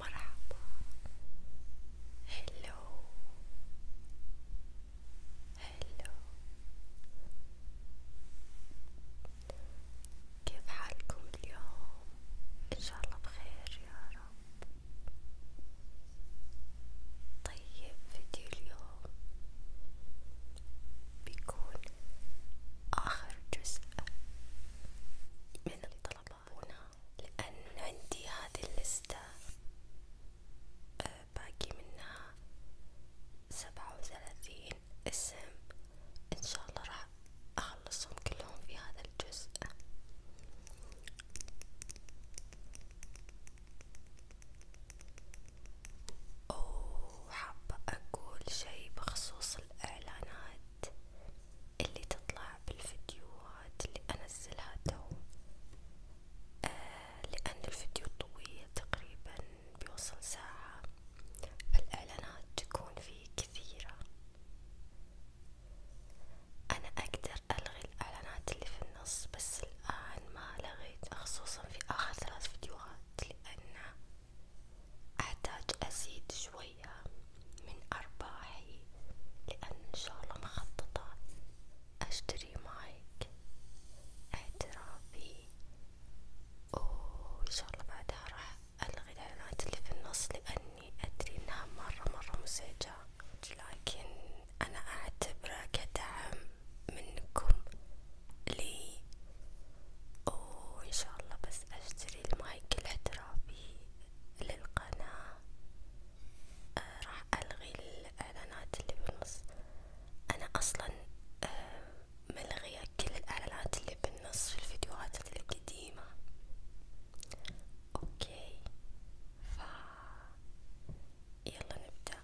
مرحبا هلو هلو كيف حالكم اليوم؟ ان شاء الله بخير يا رب طيب فيديو اليوم بيكون آخر جزء من الطلبات يحبونه لأن عندي هذه اللستة آه، باقي منها سبعة وثلاثين اسم إن شاء الله راح أخلصهم كلهم في هذا الجزء. وحابة أقول شي بخصوص الإعلانات اللي تطلع بالفيديوهات اللي انزلها تو آه لان الفيديو طويل تقريبا بيوصل ساعة فالاعلانات تكون فيه كثيرة انا اقدر الغي الاعلانات اللي في النص بس الان ما لغيت خصوصا في اخر ثلاث فيديوهات لان احتاج ازيد شوي شوية من أرباحي لأن إن شاء الله مخططة أشتري مايك اعترافي وإن شاء الله بعدها راح ألغي الإعلانات اللي في النص لأني أدري إنها مرة مرة مزعجة لكن أنا أعتبره كدعم منكم لي وإن شاء الله بس أشتري المايك الاحترافي للقناة آه راح ألغي الإعلانات اللي بالنص أنا أصلا آه ملغية كل الإعلانات اللي بالنص في الفيديوهات القديمة أوكي ف يلا نبدأ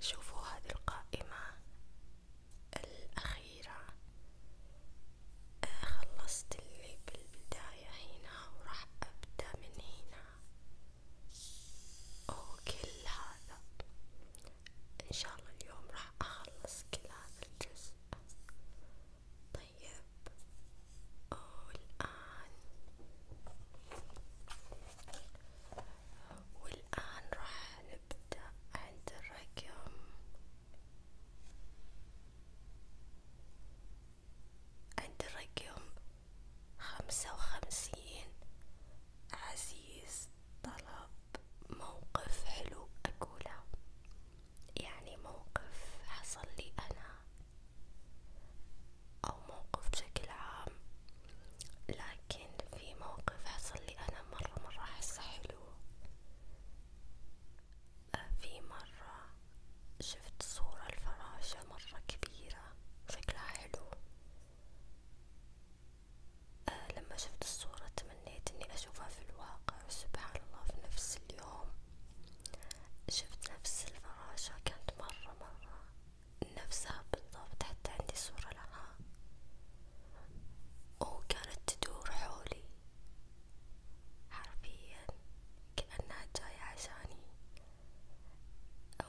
شوفوا هذه القائمة الأخيرة آه، خلصت اللي بالبداية هنا وراح أبدأ من هنا وكل هذا ان شاء الله اليوم راح اخلص كل هذا الجزء طيب والآن والآن راح نبدأ عند الرقم عند الرقم خمسة وخمسين عزيز طلب موقف حلو أقوله يعني موقف حصل لي أنا أو موقف بشكل عام لكن في موقف حصل لي أنا مرة مرة أحسه حلو آه، في مرة شفت صورة الفراشة مرة كبيرة شكلها حلو آه لما شفت الصورة تمنيت اني اشوفها في الواقع سبحان الله في نفس اليوم شفت نفس الفراشة كانت مرة مرة نفسها بالضبط حتى عندي صورة لها وكانت تدور حولي حرفيا كأنها جاية عشاني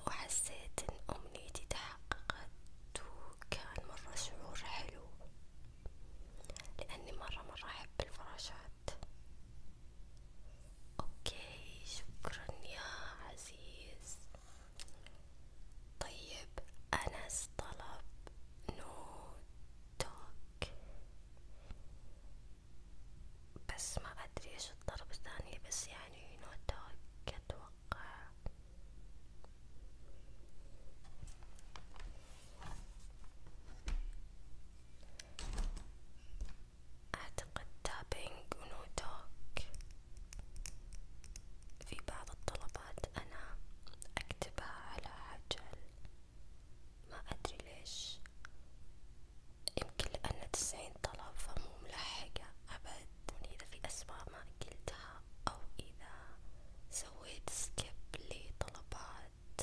وحسيت ان امنيتي تحققت وكان مرة شعور حلو لأني مرة مرة أحب الفراشات أوكي شكرا يا عزيز طيب أنس طلب نوتوك بس ما أدري إيش الطلب الثاني بس يعني نوتوك أتوقع أتوقع أعتقد تابينج ونوتوك في بعض الطلبات أنا أكتبها على عجل ما أدري ليش يمكن لأن تسعين طلب فمو ملحقة أبد إذا في أسماء ما قلتها أو إذا سويت سكيب لطلبات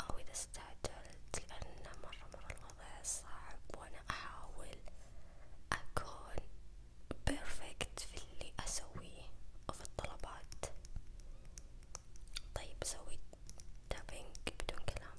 أو إذا استعجلت لأن مرة مرة الوضع صعب وأنا أحاول أكون بيرفكت في اللي أسويه وفي الطلبات طيب سويت تابينج بدون كلام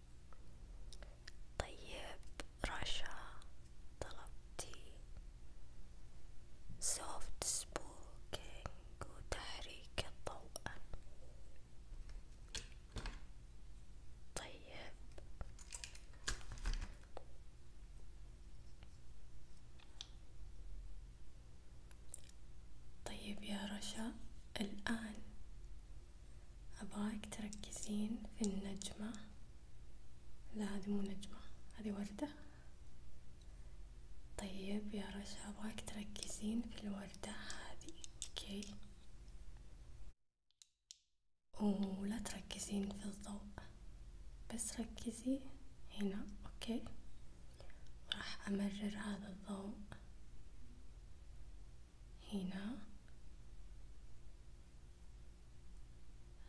طيب رشا طلبتي سوفت سبوكينج وتحريك الضوء طيب طيب يا رشا الآن أبغاك تركزين في النجمة لا هذه مو نجمة هذه وردة طيب يا رشا أبغاك تركزين في الوردة هذه أوكي ولا تركزين في الضوء بس ركزي هنا أوكي راح أمرر هذا الضوء هنا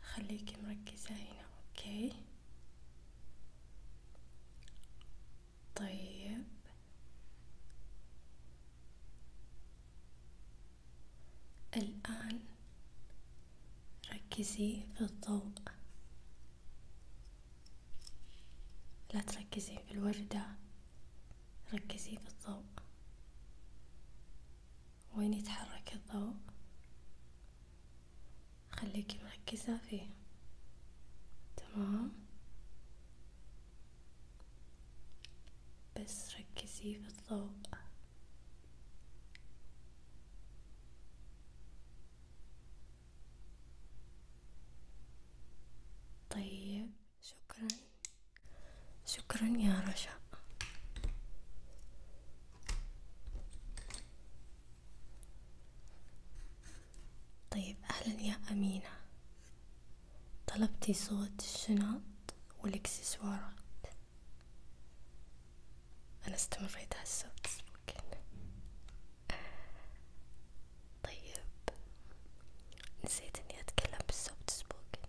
خليكي مركزة هنا اوكي طيب الآن ركزي في الضوء لا تركزي في الوردة ركزي في الضوء وين يتحرك الضوء خليكي مركزة فيه تمام بس ركزي في الضوء طيب شكرا شكرا يا رشا طيب أهلا يا أمينة طلبتي صوت الشنط والإكسسوارات أنا استمريت على الصوت ممكن طيب، نسيت إني أتكلم بالصوت سبوكن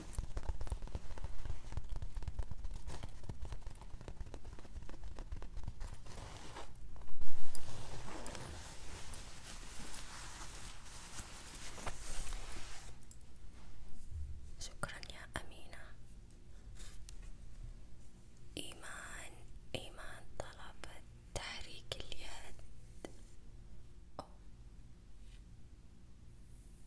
شكرا يا أمينة إيمان إيمان طلبت تحريك اليد أو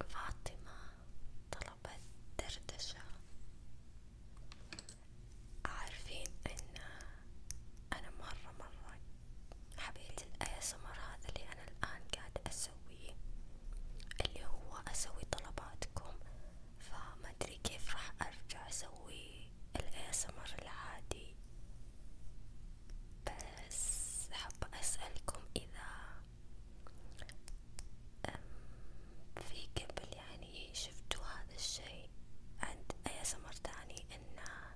فاطمة طلبت دردشة عارفين ان انا مرة مرة حبيت الاسمر هذا اللي انا الان قاعدة اسويه اللي هو اسوي طلباتكم فما ادري كيف راح ارجع اسوي الاسمر العادي بس حابة أسألكم إذا في قبل يعني شفتوا هذا الشي عند أي سمر تاني إنه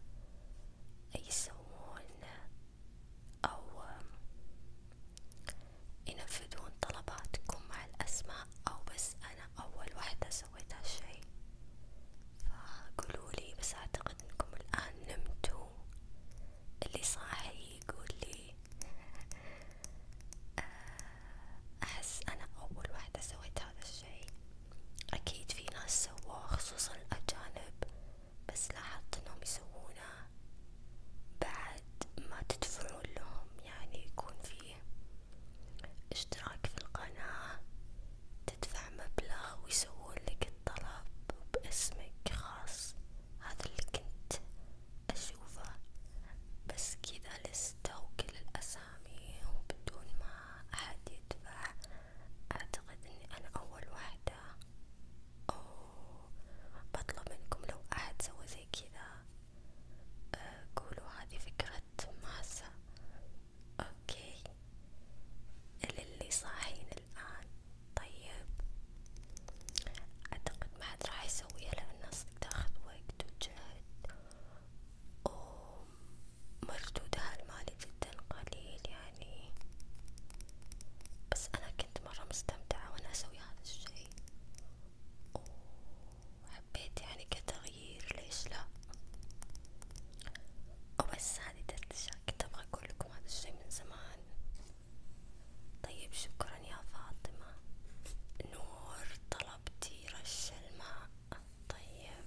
يسوون أو ينفذون طلباتكم مع الأسماء أو بس أنا أول واحدة سويت هالشي فقولولي بس أعتقد إنكم الآن نمتوا هو اللي صاحي يقول لي آه، أحس أنا أول واحدة سويت هذا الشي أكيد في ناس سووه خصوصا الأجانب بس لاحظت إنهم يسوونه بعد ما تدفعون لهم يعني يكون فيه اشتراك في القناة تدفع مبلغ ويسوون لك الطلب باسمك خاص هذا اللي كنت أشوفه بس كذا لستة وكل الأسامي وبدون ما أحد يدفع أعتقد إني أنا أول واحدة أوه بطلب منكم لو أحد سوى زي كذا أه، قولوا هذه فكرة ماسة أوكي للي صاحين الآن طيب أعتقد ما حد راح يسويها لأن تاخذ وقت وجهد ومردودها المالي جدا قليل يعني بس أنا كنت مرة مستمتعة وأنا أسوي هذا الشي وحبيت يعني كتغيير ليش لا وبس هذه تلت أشياء كنت أبغى أقول لكم هذا الشي من زمان طيب شكرا يا فاطمة نور طلبتي رش الماء طيب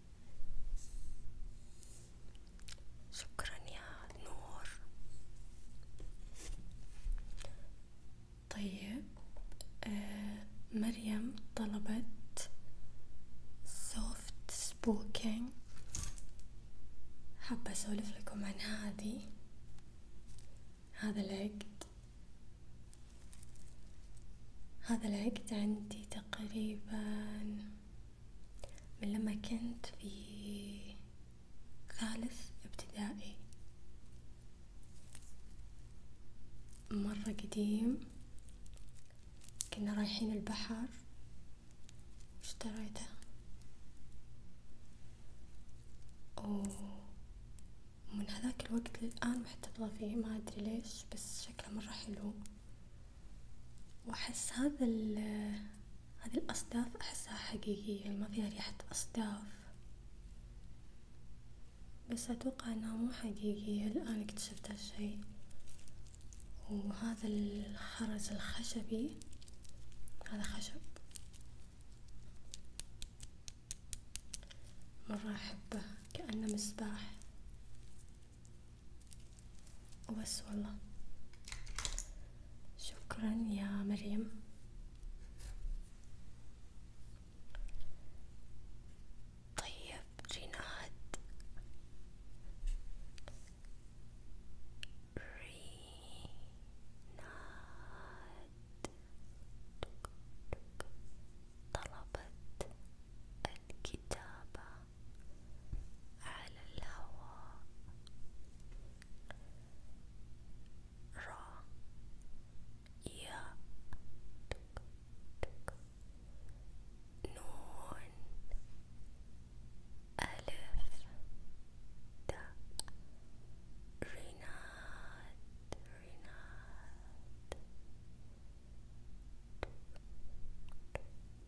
شكرا يا نور طيب آه، مريم طلبت soft spoken حابة أسولف لكم عن هذه هذا العقد هذا العقد عندي تقريبا من لما كنت في ثالث ابتدائي مرة قديم كنا رايحين البحر اشتريته ومن هذاك الوقت للآن محتفظة فيه ما أدري ليش بس شكله مرة حلو واحس هذا ال هذي الأصداف أحسها حقيقية ما فيها ريحة أصداف بس أتوقع إنها مو حقيقية الآن اكتشفت هالشي وهذا الخرز الخشبي هذا خشب مرة أحبه كأنه مصباح وبس والله شكرا يا مريم طيب ريناد ريناد طلبت الكتابة على الهواء را يا نون ألف تا ريناد ريناد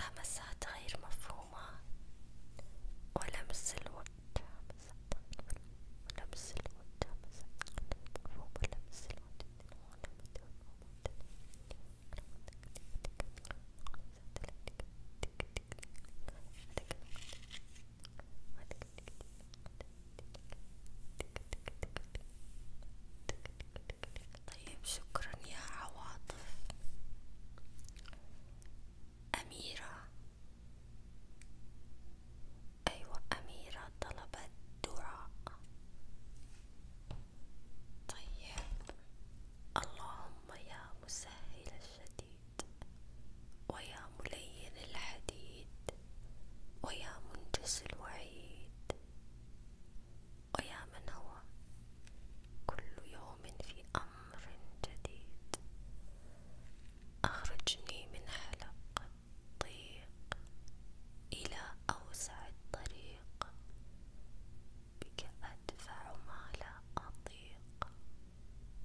همسات غير مفهومة ولمس الود همسات ولمس الود همسات غير مفهومة ولمس الود طيب شكرا يا عواطف أميرة أيوة أميرة طلبت دعاء طيب اللهم يا مسهل الشديد ويا ملين الحديد ويا منجز الوعيد ويا من هو كل يوم في أمر جديد أخرجني من حلق الضيق إلى أوسع الطريق بك أدفع ما لا أطيق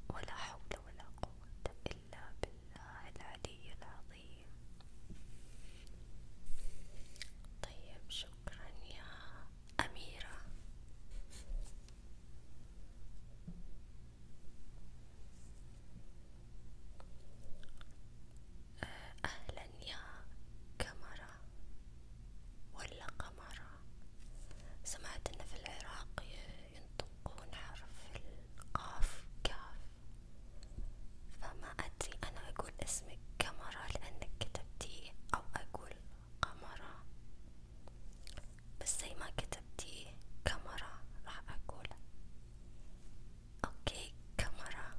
ولا حول ولا قوة إلا بالله العلي العظيم طيب شكرا يا أميرة أهلا يا كاميرا ولا قمرة سمعت إن في العراق ينطقون حرف القاف كاف فما أدري أنا أقول اسمك كاميرا لأنك كتبتيه أو أقول قمرة بس زي ما كتبتي كاميرا راح أقول أوكي كاميرا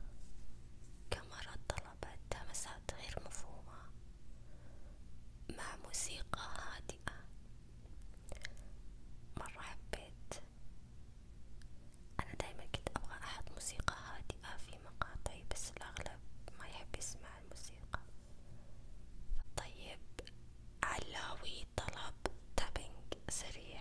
كاميرا طلبت همسات غير مفهومة مع موسيقى هادئة مرة حبيت أنا دايما كنت أبغى أحط موسيقى هادئة في مقاطعي بس الأغلب ما يحب يسمع الموسيقى طيب علاوي طلب تابينج سريع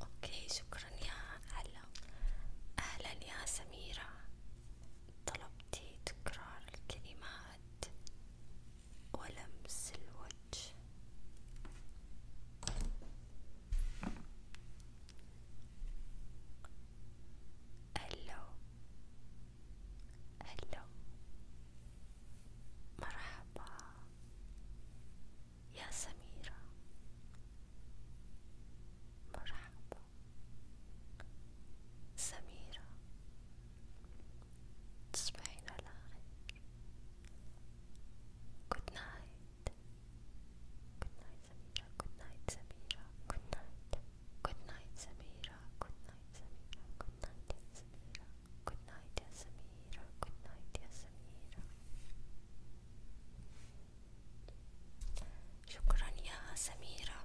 اوكي شكرا يا هلا اهلا يا سميرة طلبتي تكرار الكلمات ولمس الوجه الو هلا مرحبا يا سميرة مرحبا سميرة تصبحين على خير Good night Good night سميرة Good night سميرة Good night Good night سميرة سميرة good night سميرة good night يا سميرة good night يا سميرة good night يا سميرة شكرا يا سميرة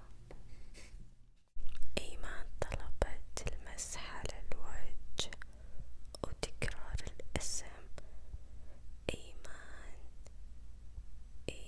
إيمان طلبت المسح على الوجه وتكرار الاسم إيمان إيمان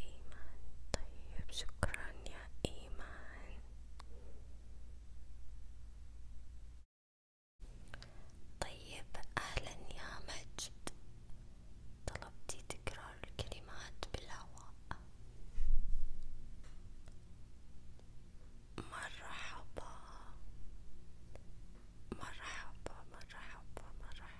إيمان طيب شكرا يا إيمان طيب أهلا يا مجد طلبتي تكرار الكلمات بالهواء مرحبا مرحبا مرحبا مرحبا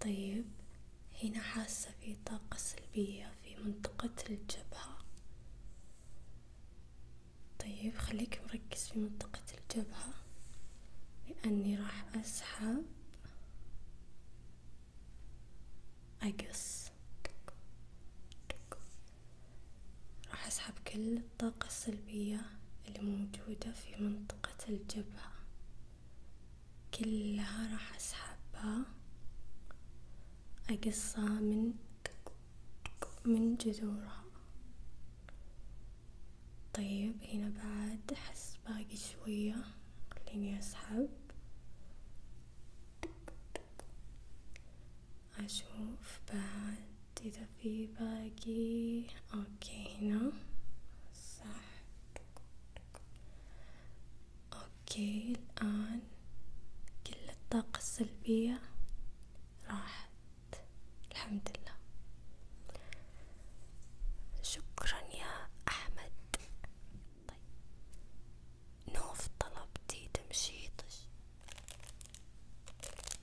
طيب هنا حاسة في طاقة سلبية في منطقة الجبهة طيب خليك مركز في منطقة الجبهة لأني راح أسحب أقص راح أسحب كل الطاقة السلبية الموجودة في منطقة الجبهة كلها راح أسحبها أقصها من من جذورها طيب هنا بعد أحس باقي شوية خليني أسحب أشوف بعد إذا في باقي أوكي هنا صح أوكي الآن كل الطاقة السلبية راحت الحمد لله شكرا يا أحمد طيب نوف طلبتي تمشيطش طيب.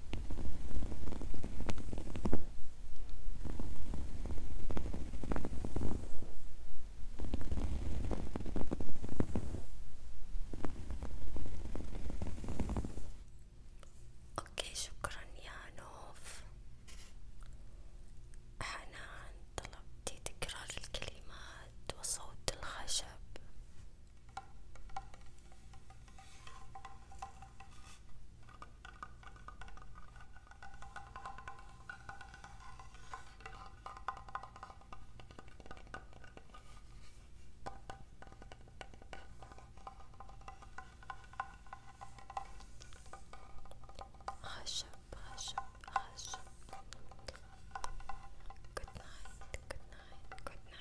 اوكي شكرا يا نوف حنان طلبتي تكرار الكلمات وصوت الخشب Hush up, hush hush Good night, good night, good night.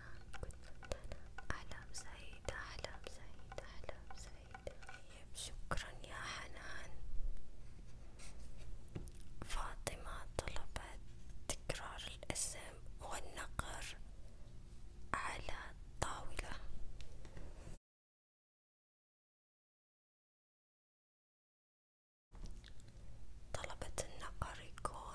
كنت أنا أحلام سعيدة أحلام سعيدة أحلام سعيدة طيب شكرا يا حنان فاطمة طلبت تكرار الاسم والنقر على الطاولة طلبت النقر يكون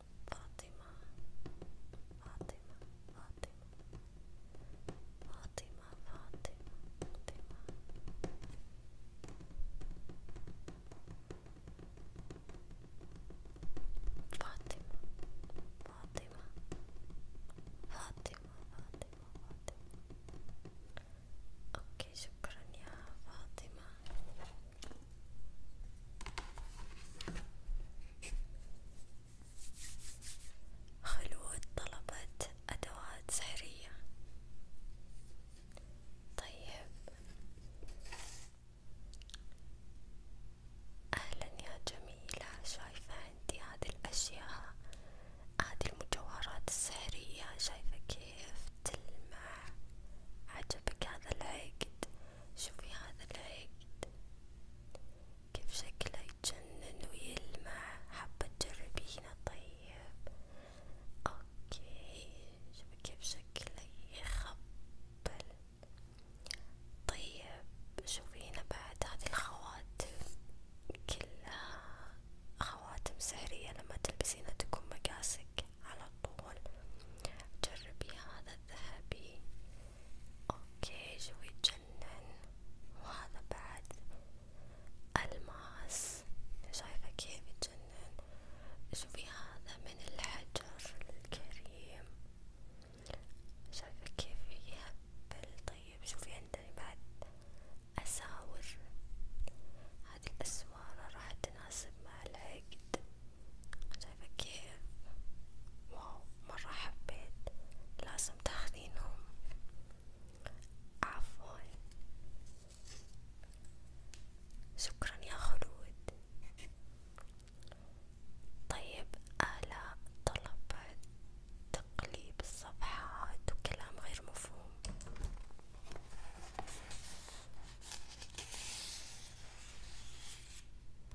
Fatima, Fatima, Fatima, Fatima, Fatima, Fatima. Fatima, Fatima, Fatima, Fatima, Fatima. Okay, shukran ya Fatima. خلود طلبت أدوات سحرية طيب أهلا يا جميلة شايفة عندي هذه الأشياء هذه المجوهرات السحرية شايفة كيف تلمع عجبك هذا العقد شوفي هذا العقد كيف شكله يتجنن ويلمع حابة تجربينه طيب اوكي شوفي كيف شكله يخبل طيب شوفي هنا بعد هذه الخواتم كلها خواتم سحرية لما تلبسينها تكون مقاسك على طول جربي هذا الذهبي اوكي جو يتجنن وهذا بعد الماس شايفة كيف يتجنن شوفي هذا من الحجر الكريم شايفة كيف يهبل طيب شوفي عندني بعد أساور هذه الأسوارة راح تناسب مع العقد شايفة كيف واو مرة حبيت لازم تاخدينهم عفوا شكرا يا خلود طيب آلاء طلبت تقليب الصفحات وكلام غير مفهوم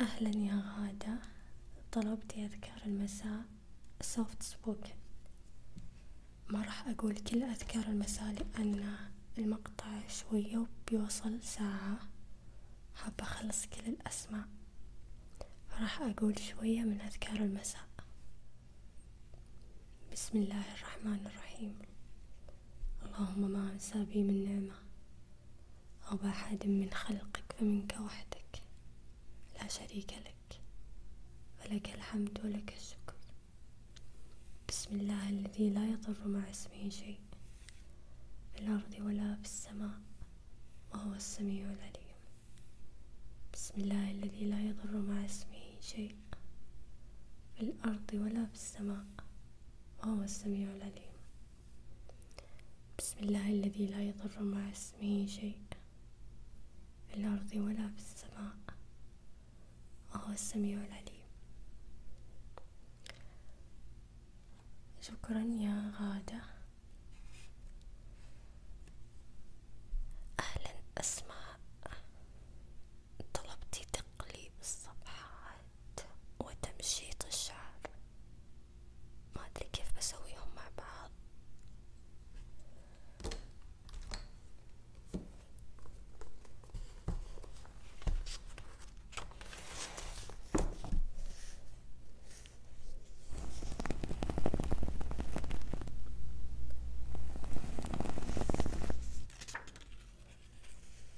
أهلا يا غادة طلبتي أذكار المساء سوفت سبوكن ما راح أقول كل أذكار المساء لأن المقطع شوية وبيوصل ساعة حابة أخلص كل الأسماء راح أقول شوية من أذكار المساء بسم الله الرحمن الرحيم اللهم ما أنسى بي من نعمة أو أحد من خلقك فمنك وحدك لا شريك لك فلك الحمد ولك الشكر بسم الله الذي لا يضر مع اسمه شيء في الأرض ولا في السماء وهو السميع العليم بسم الله الذي لا يضر مع اسمه شيء في الأرض ولا في السماء وهو السميع العليم بسم الله الذي لا يضر مع اسمه شيء في الأرض ولا في السماء وهو السميع العليم شكرا يا غادة أهلا أسماء طلبتي تقليب الصفحات النبات وتمشيط الشعر ما ادري كيف بسويهم مع بعض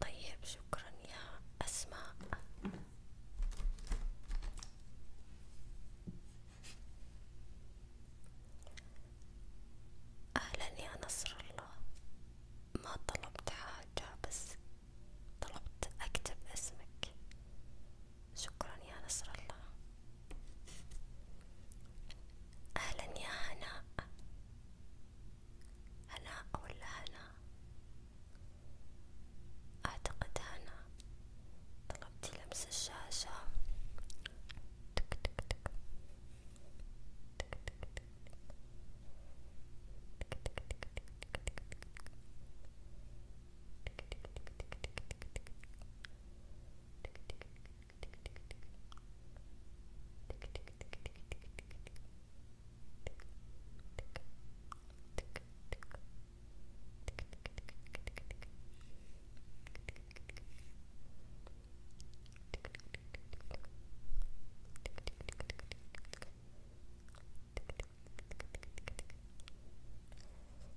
طيب شكرا يا أسماء أهلا يا نصر الله ما طلبت حاجة بس طلبت أكتب اسمك شكرا يا نصر الله أهلا يا هناء هلا ولا هلا اعتقد هنا طلبتي لمس الشاشة تك تك تك تك تك تك تك تك تك تك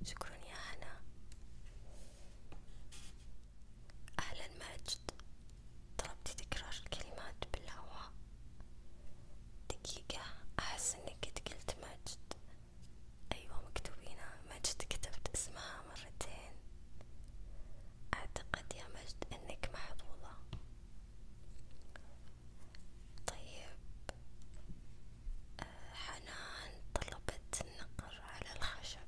شكرا يا هنا أهلا ماجد طلبتي تكرار الكلمات بالهواء دقيقة أحس إنك قد قلت مجد أيوة مكتوبينها مجد كتبت اسمها مرتين أعتقد يا مجد إنك محظوظة طيب آه، حنان طلبت النقر على الخشب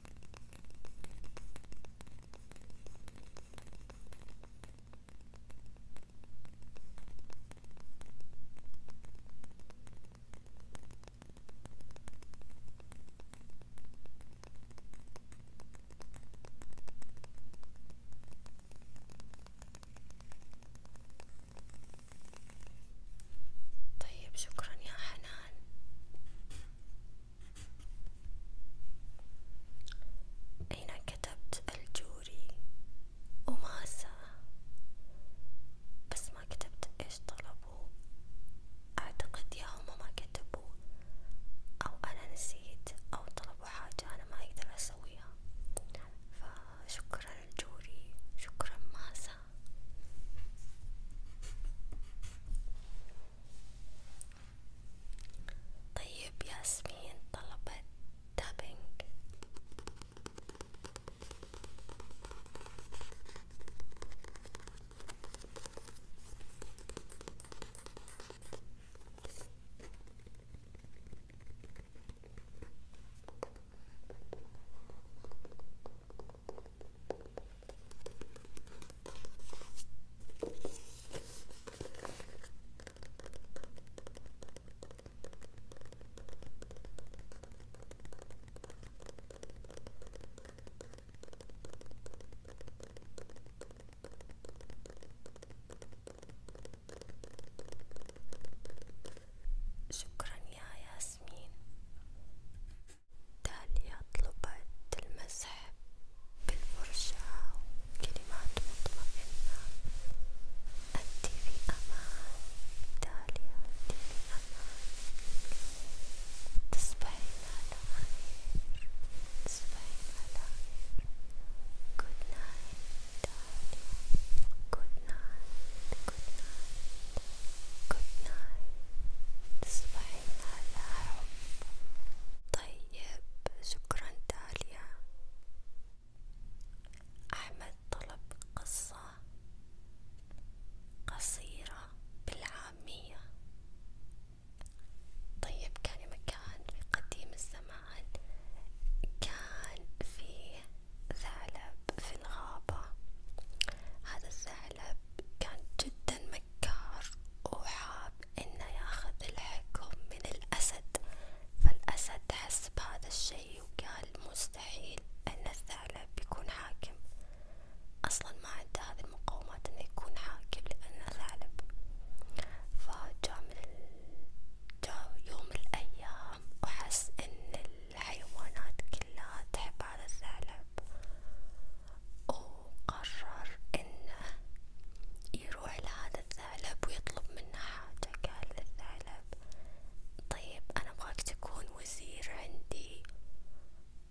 طيب شكرا يا حنان أين كتبت الجوري وماسة بس ما كتبت إيش طلبوا أعتقد يا هما ما كتبوا أو أنا نسيت أو طلبوا حاجة أنا ما أقدر أسويها فشكرا الجوري شكرا ماسة طيب ياسمين طلبت تابينج شكرا يا ياسمين تاليا طلبت المسح بالفرشاة وكلمات مطمئنة أنت في أمان داليا أنت في أمان تصبحين على خير تصبحين على خير Good night داليا Good night Good night Good night تصبحين على حب طيب طيب شكرا داليا أحمد طلب قصة قصيرة بالعامية طيب كان مكان في قديم الزمان كان فيه ثعلب في الغابة هذا الثعلب كان جدا مكار وحاب انه ياخذ الحكم من الاسد فالاسد حس بهذا الشي وقال مستحيل ان الثعلب يكون حاكم اصلا ما عنده هذه المقومات انه يكون حاكم لانه ثعلب فجاء من جاء يوم الايام وحس ان الحيوانات كلها تحب هذا الثعلب وقرر انه يروح لهذا الثعلب ويطلب منه حاجة قال للثعلب طيب انا ابغاك تكون وزير عندي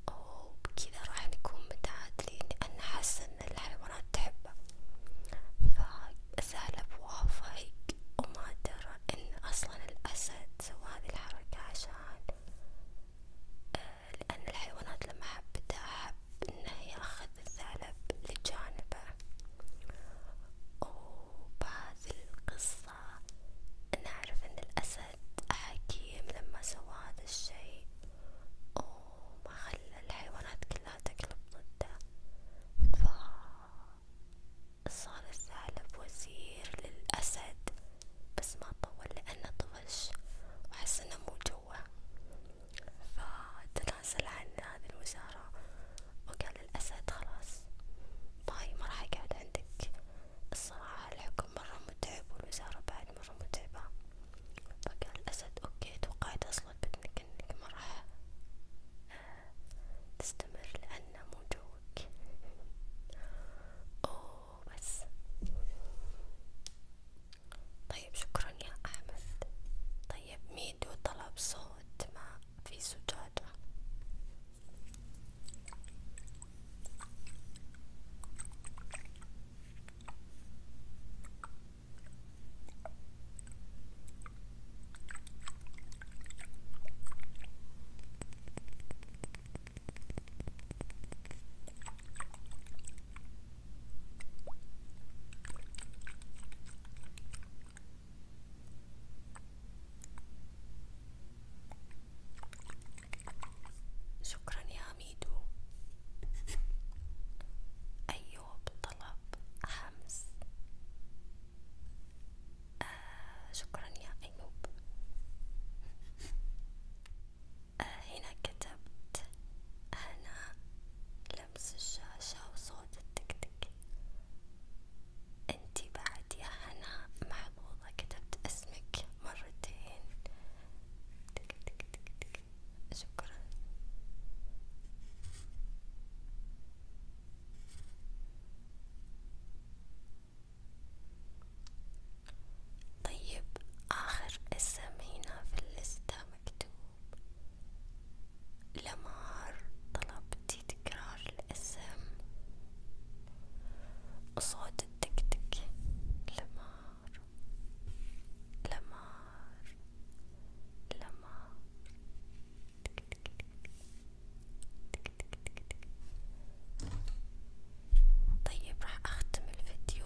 وبكذا راح نكون متعادلين لان حس ان الحيوانات تحبه فالثعلب وافق وما درى ان اصلا الاسد سوى هذه الحركة عشان آه، لأن الحيوانات لما حبتها أحب إنه يأخذ الثعلب لجانبه، وبهذي القصة نعرف إن الأسد حكيم لما سوى هذا الشي وما خلى الحيوانات كلها تقلب ضده، فصار الثعلب وزير للأسد، بس ما طول لأنه طفش وحس إنه مو جو هو فتنازل عن هذه الوزارة وقال الأسد خلاص باي طيب، ما راح يقعد عندك الصراحة الحكم مرة متعب والوزارة بعد مرة متعبة فقال الأسد أوكي توقعت أصلا بدنك إنك ما راح تستمر لأنه مو جوك أوه بس طيب شكرا يا أحمد طيب ميدو طلب صوت ما في زجاجة شكرا يا ميدو أيوب طلب حمس آه شكرا يا أيوب هنا كتبت هنا لمس الشاشة وصوت التك تك انتي بعد يا هنا محظوظة كتبت اسمك مرتين تك تك تك تك شكرا طيب آخر اسم هنا في اللستة مكتوب لمار طلبتي تكرار الاسم صوت التكتك لمار لمار لمار تك تك تك تك تك تك تك طيب راح اختم الفيديو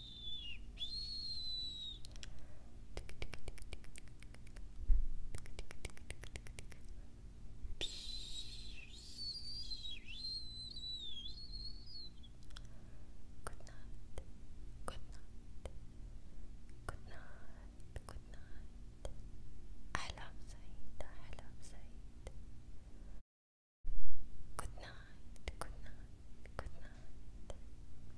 Good night. Good night. I love Said. I love Said. Good night. Good night. Good night.